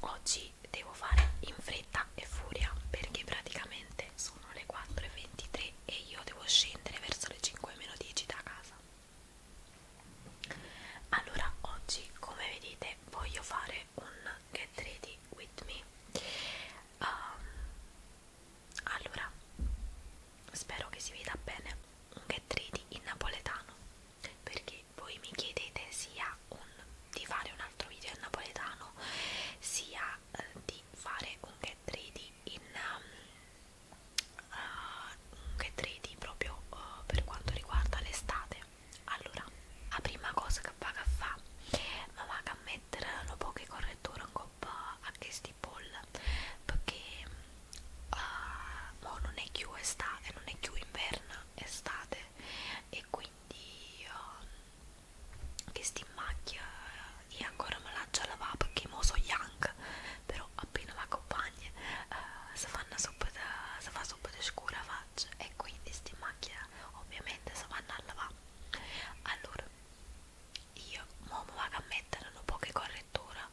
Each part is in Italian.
oggi devo fare in fretta e furia perché praticamente sono le 4.23 e io devo scendere verso le 5.10 da casa allora oggi come vedete voglio fare un get ready with me um, allora spero che si veda bene un get ready in napoletano perché voi mi chiedete sia un, di fare un altro video in napoletano sia eh, di fare un get ready in um, uh, un get ready proprio uh, per quanto riguarda l'estate allora la prima cosa che vado a fare ma vado a mettere un po' di correttore eh, un po' a questi poll perché uh, mo non è più estate non è più inverno piena estate e quindi uh, um, che sti in macchia e eh, ancora me la già lavava perché mo so young però appena la compagna uh, eh, si fanno sopra si fa sopra di scura faccia e quindi sti in macchia ovviamente si vanno a lavare allora io mo mi vado a mettere un po' che correttura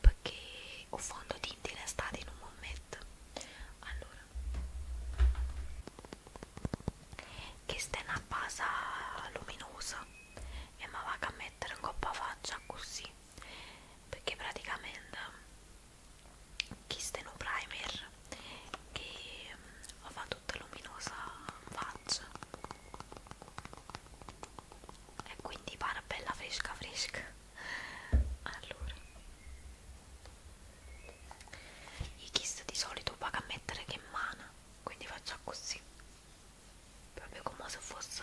perché ho fondo tinti in estate in un momento allora questa è una base luminosa e mi vado a mettere in coppa faccia così perché praticamente questo è un primer che mm, fa tutta luminosa faccia e quindi pane bella fresca fresca allora i kiss di solito paga a mettere che mana quindi faccio così proprio come se fosse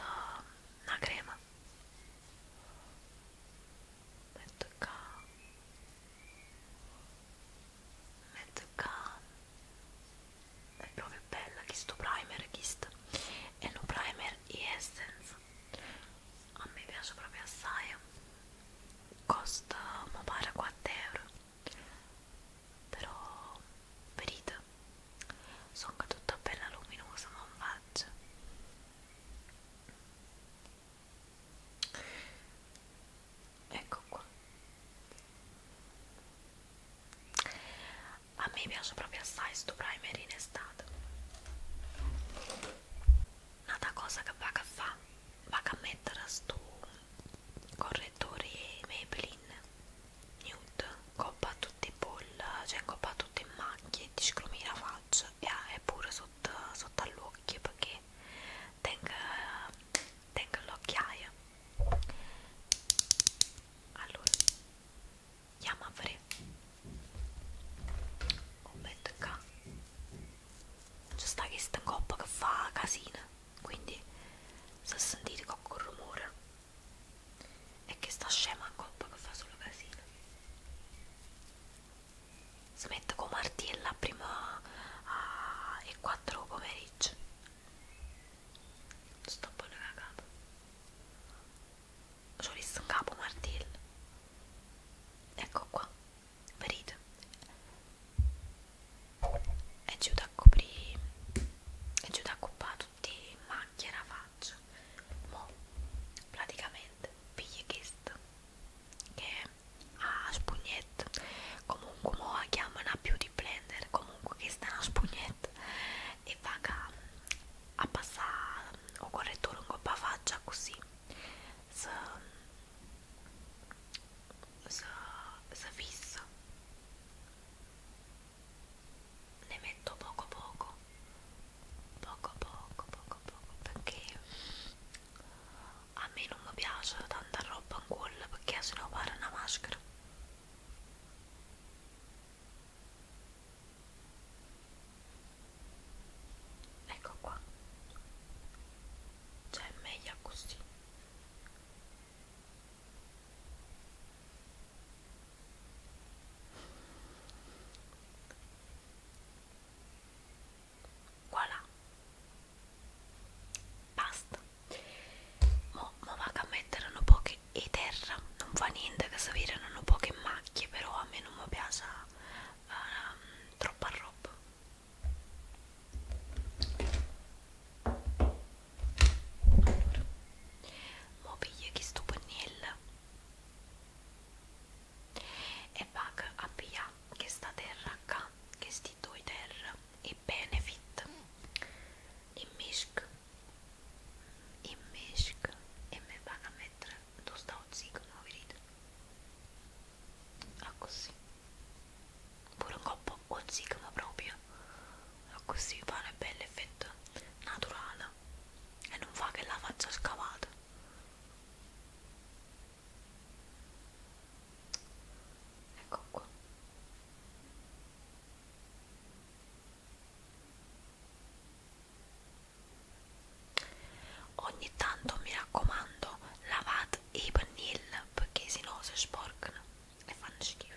una crema metto qua metto qua è proprio bella questo primer questo e un primer e essence a me piace proprio assai costa mi pare 4 euro però verito sono tutta bella luminosa ma non faccio ecco qua a me piace proprio assai sto primer in estate un'altra cosa che vado a fare vado a mettere sto correttore Maybelline nude coppa tutti i boll cioè coppa tutte in macchie ti scrumi la faccia e pure sotto, sotto all'occhio perché tengo l'occhiaia allora я маври. Ho detto qua. C'è sta questa coppa che fa casino, quindi se sentite qualche rumore è che sta scema coppa che fa solo casino. Si mette con martella prima alle 4 pomeriggio sto pure cagato ci ho visto un capo martello ecco qua ferito è giù da coprire è giù da coppare tutti macchie la faccia mo praticamente pigli questo che ha spugnette comunque mo la chiamano beauty blender comunque questa è una spugnetta e vaga a passare o correttore un coppa faccia così se, se, se fissa ne metto poco poco poco poco poco poco perché a me non mi piace tanta roba in quello perché sennò pare una maschera Ecco qua. Cioè è meglio così. Voilà. Basta mo, mo vado a mettere un po' che e terra non fa niente che sapere non ho poche macchie però a me non mi piace uh, troppa roba allora mo piglio questo pennello e vado a pigliare questa terra qua questi due terra i benefit, i mishk, i mishk e me van a mettere dosta ozzigano, vidite? A così, pure un coppo ozzigano proprio, a così fa un bel effetto naturale e non fa che la faccia scavata. Ecco qua Ogni tanto mi raccomando, lavate i pennelli perché sennò si sporcano e fanno schifo.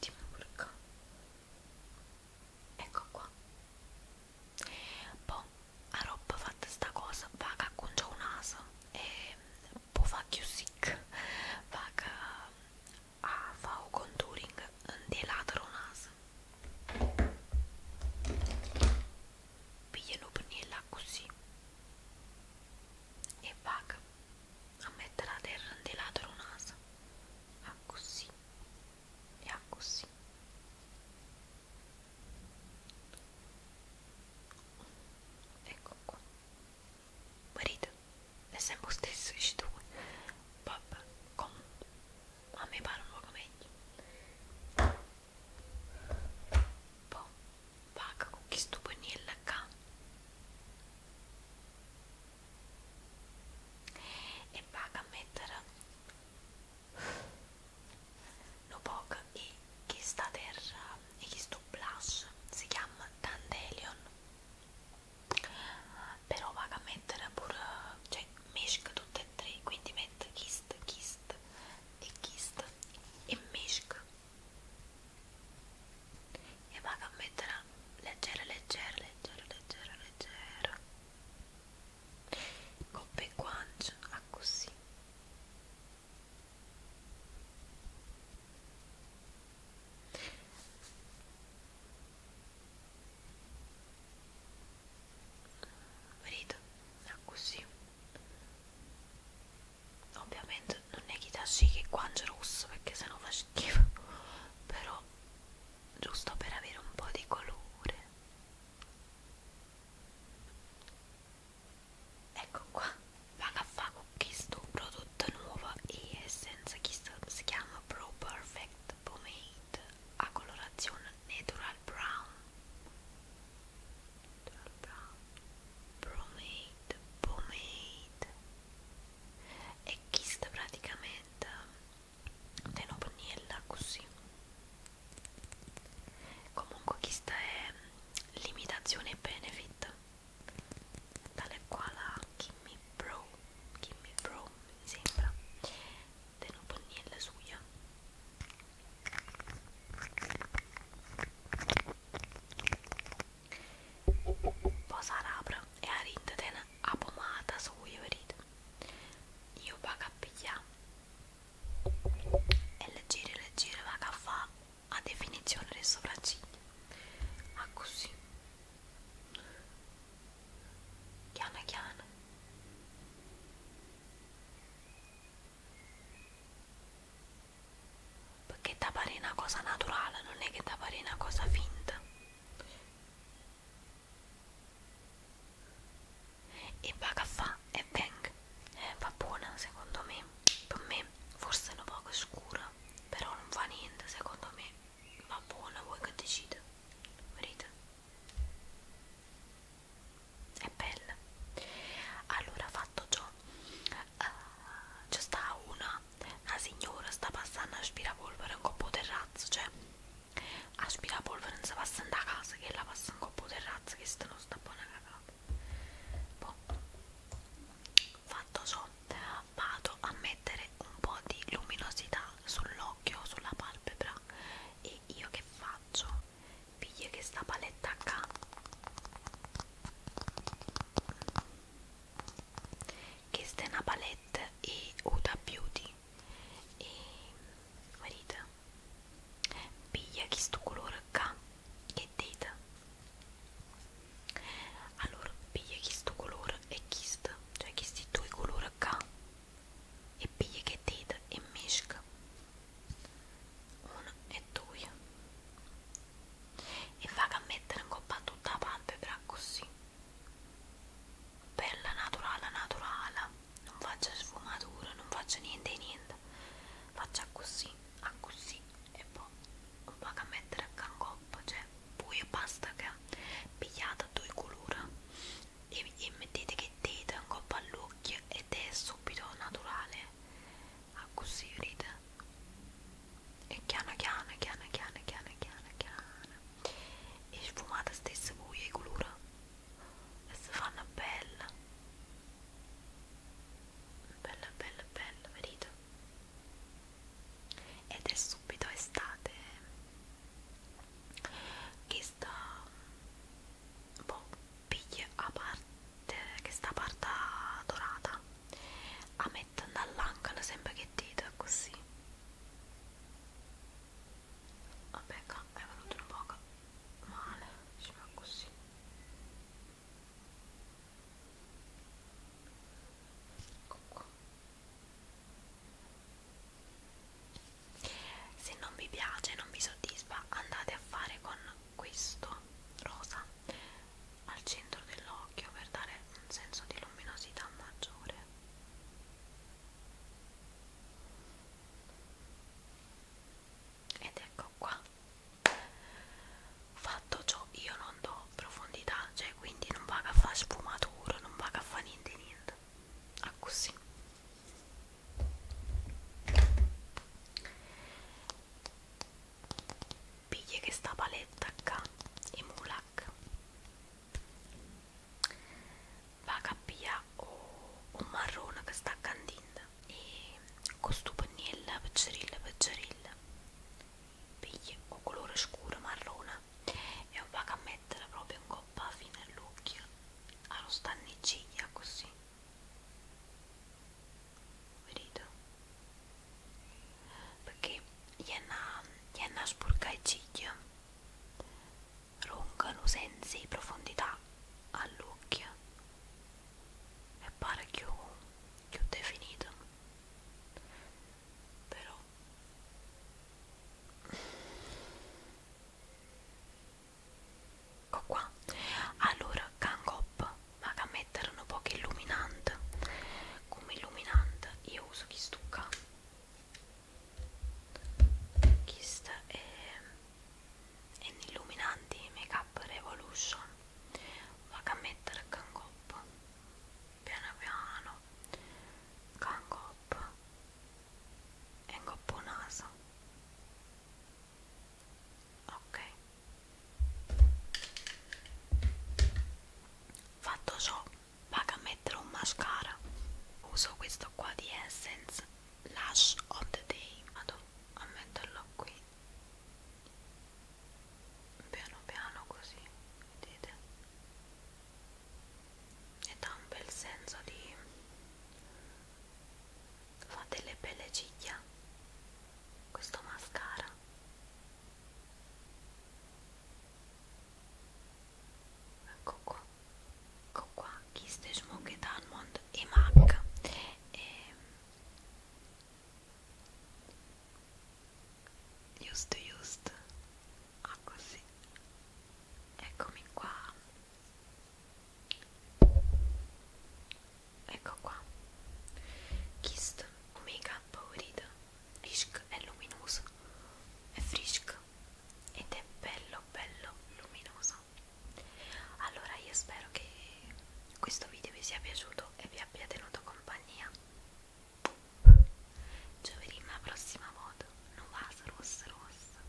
Dimmi pure qua. Ecco qua. Poi a roba fatta sta cosa va che acconcia un naso e può fare più sick va che a ah, fa un contouring di lato naso pigliano per là così e va a mettere a terra di lato naso a così e a così ecco qua marito è sempre lo stesso dici tu papà come a me pare un luogo meglio boh, poi vaga con chi stupanilla qua e vaga a mettere L'Opoc e questa terra e questo blush si chiama Dandelion però vaga a mettere pure cioè mesca tutte e tre quindi mette Kist, Kist e Kist e mesca e vaga a mettere leggera leggera leggera leggera leggera coppe e guance a ah, così vedo a ah, così ovviamente non è che tasci che guance rosso perché sennò fa schifo però giusto per avere un po' di colore ecco qua vado a fare questo prodotto nuovo e essenza che si chiama Pro Perfect Pomade a colorazione natural brown natural brown pomade pomade e questo praticamente della pannella così comunque questa è l'imitazione benefit tale qua la Kimmy Pro Kimmy Pro mi sembra della pannella suya Poi sarà e a rindeten a pomata suya, vedete? io vaga a pigliare e leggere leggere vaga a fa a definizione le sopracciglia a così chiana chiana perché ti pare una cosa naturale non è che ti pare una cosa finta e paga fa e bang eh, va buona secondo me per me forse è un poco scura però non fa niente secondo me va buona voi che decide vedete è bella allora fatto ciò uh, c'è sta una una signora sta passando a aspirapolvere un coppo terrazzo cioè Aspirapolvere non si passa in da casa, che la passa in coppa terrazza, che stanno sta buona cagata. Boh. Fatto ciò, vado a mettere un po' di luminosità sull'occhio, sulla palpebra e io che faccio? Piglio questa paletta qua questa è una palette e Uda Beauty e guarite piglia questo colore qua che dite allora piglia questo colore e questo cioè questi due colori qua e piglia che dite e mesca uno e due e va a mettere un po' tutta la palpebra così bella naturale naturale non faccio sfumatura non faccio niente niente faccio così a così e poi un po' a mettere a cangoppo cioè poi basta che pigliate due colori e, e mettete che dite un coppa all'occhio ed è subito naturale a così ride e chiana chiana chiana chiana chiana chiana chiana e sfumata stessa voi e colura e si fanno bella bella bella bella vedete ed è subito estate che sta un boh, po' piglia a parte che sta parte dorata a me mettono all'angolo sembra che dita così vabbè qua è venuto un poco male si fa così ecco qua se non vi piace non vi soddisfa andate a fare con questo rosa al centro dell'occhio per dare un senso di luminosità maggiore ed ecco qua fatto ciò io non do profondità cioè quindi non vado a fare sfumatura non vado a fare niente niente a così ecco, piglia che sta paletta qua i mulak va a piglia un marrone che sta candinda e questo pennello peggiorilla peggiorilla piglia un colore scuro marrone e va a mettere proprio in coppa fino all'occhio allo stanniciglia così Verito? Perché jenna spurca il ciglio, roncano senza profondità all'occhio e pare più, più definito. Però ecco qua allora Gangop ma a mettere un po' che illuminante come illuminante io uso chi stucca questa è eh, un illuminante make up revolution vado a mettere cangop piano piano cangop e coppo naso ok fatto ciò vado a mettere un mascara uso questo qua di Essence Lash of the Day vado a metterlo qui piano piano così vedete e dà un bel senso di fa delle belle ciglia questo mascara ecco qua ecco qua Kiss the Smoke Almond e MAC e ehm, Used used ah così eccomi qua ecco qua Kist Omega Paurida Risk è luminoso è frisco ed è bello bello luminoso allora io spero che questo video vi sia piaciuto e vi abbia tenuto compagnia giovedì la prossima volta non vas rossa rossa